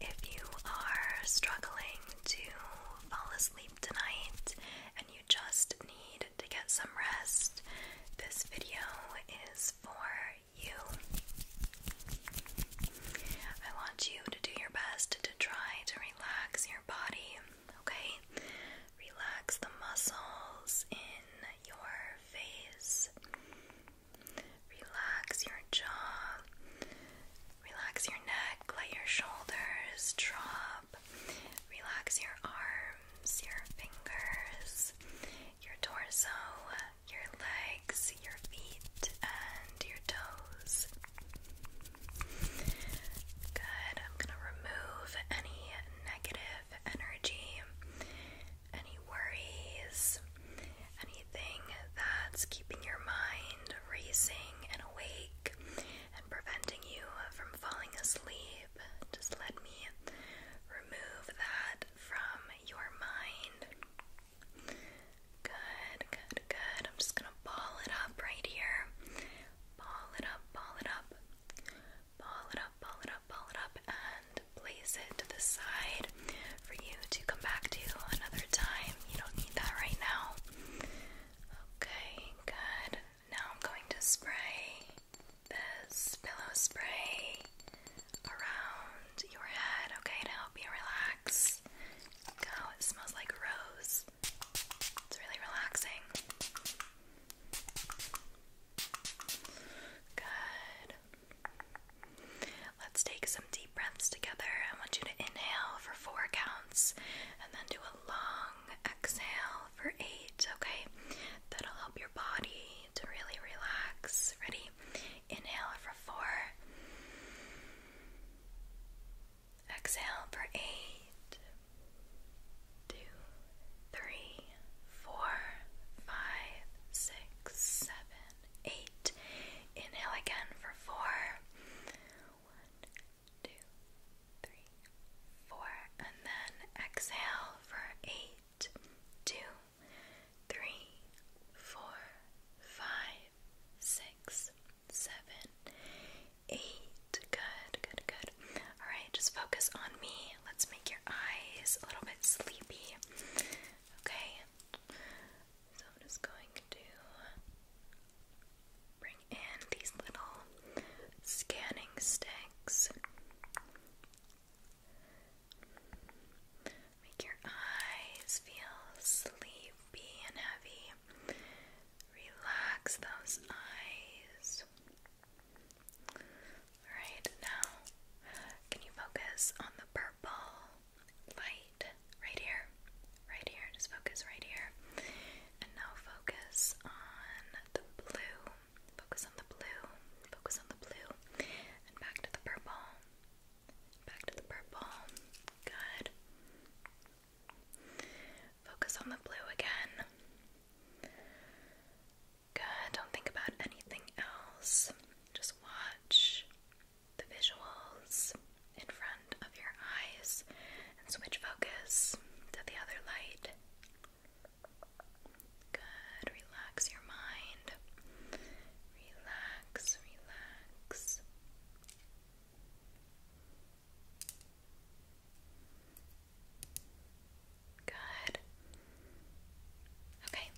If you are struggling to fall asleep tonight and you just need to get some rest, this video is for you. I want you to do your best to try to relax your body, okay? Relax the muscles in your face. Relax your jaw, relax your neck, let your shoulders drop, relax your arms, your fingers, your torso, your legs, your feet, and your toes. Good, I'm gonna remove any negative energy any worries, anything that's keeping your mind racing and awake and preventing you from falling asleep. Just let me remove that from your mind. Good, good, good. I'm just gonna ball it up right here. Ball it up, ball it up. Ball it up, ball it up, ball it up, and place it to the side for you to come back to another time. You don't need that right now. Okay, good. Now I'm going to spray this pillow spray around your head, okay, now help me relax. Go, it smells like rose. It's really relaxing. Good. Let's take some deep breaths together. I want you to inhale for four counts and then do a long exhale for eight, okay? That'll help your body to really relax. Ready? Inhale for four, exhale for eight, two, three, four, five, six, seven, eight. Inhale again for four. One, two, three, four. And then exhale for eight, two, three, four, five, six, seven, eight. Good, good, good. All right, just focus on me. Let's make your eyes a little bit sleepy. Okay, so I'm just going to bring in these little scanning sticks. Make your eyes feel sleepy and heavy. Relax those eyes. Alright, now can you focus on the purple light right here? Right here, just focus right here. And now focus on the blue. Focus on the blue. Focus on the blue. And back to the purple. Back to the purple. Good. Focus on the blue again. Good. Don't think about anything else. Just watch the visuals in front of your eyes and switch focus to the other light. Good. Relax your mind. Relax, relax. Good. Okay.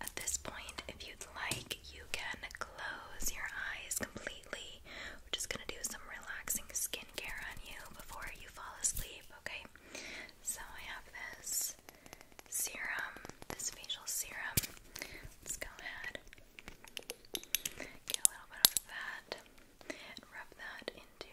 At this point, if you'd like, you can close your eyes completely. We're just going to do some relaxing skincare on you before you fall asleep, okay? So I have this serum, this facial serum. Let's go ahead. Get a little bit of that rub that into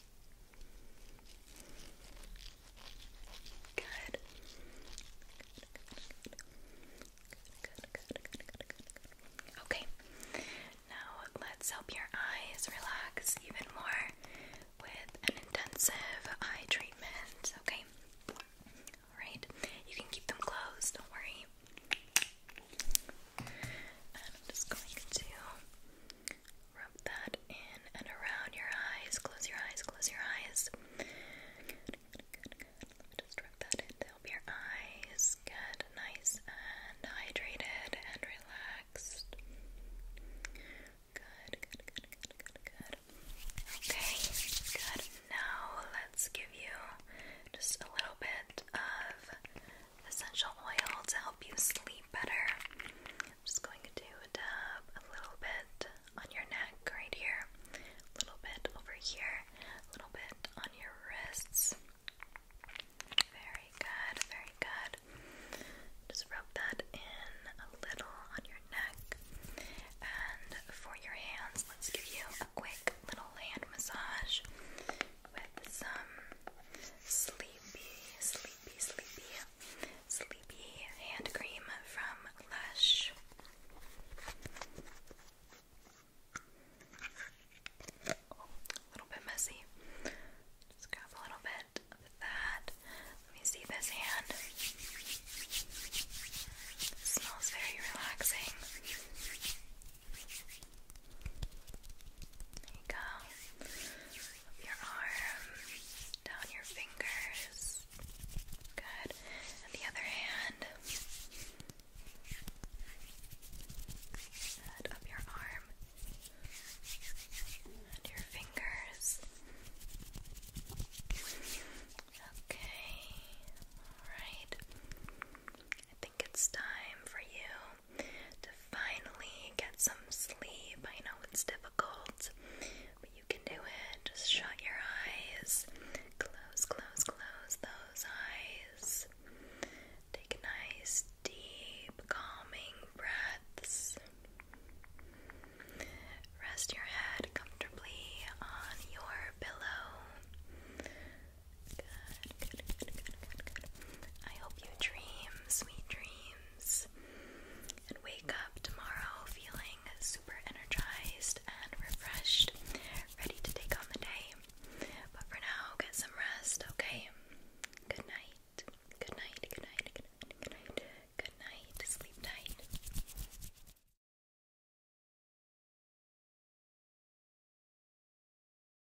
Good. Good, good, good, Okay. Now let's help your eyes relax even more with an intensive eye treatment. Okay. Alright. You can keep them closed, don't worry. I'm just going to Rub that in and around your eyes. Close your eyes, close your eyes. just rub that in to help your eyes get nice and hydrated and relaxed. good, good, good, good. Okay, good. Now let's give you just a little bit of essential oil to help you sleep better. I'm just going to dab a little bit on your neck right here, a little bit over here, a little bit on your wrists. Very good, very good. Just rub that in a little on your neck. And for your hands, let's give you a quick little hand massage with some Sleepy, Sleepy, Sleepy, Sleepy hand cream from Lush. Oh, a little bit messy. Just grab a little bit of that. Let me see this hand. smells very relaxing. There you go. Up your arm, down your fingers. Good. And the other hand. Up your arm. And your fingers. Okay. Alright. I think it's time for you to finally get some sleep. I know it's difficult, but you can do it. Just shut your eyes. Close, close, close those eyes. Take nice, deep, calming breaths. Rest your head comfortably on your pillow. I hope you dream sweet dreams and wake up tomorrow feeling super energized and refreshed, ready to take on the day. But for now, get some rest, okay? Good night. Good night, good night, good night, good night. Good night. Sleep tight.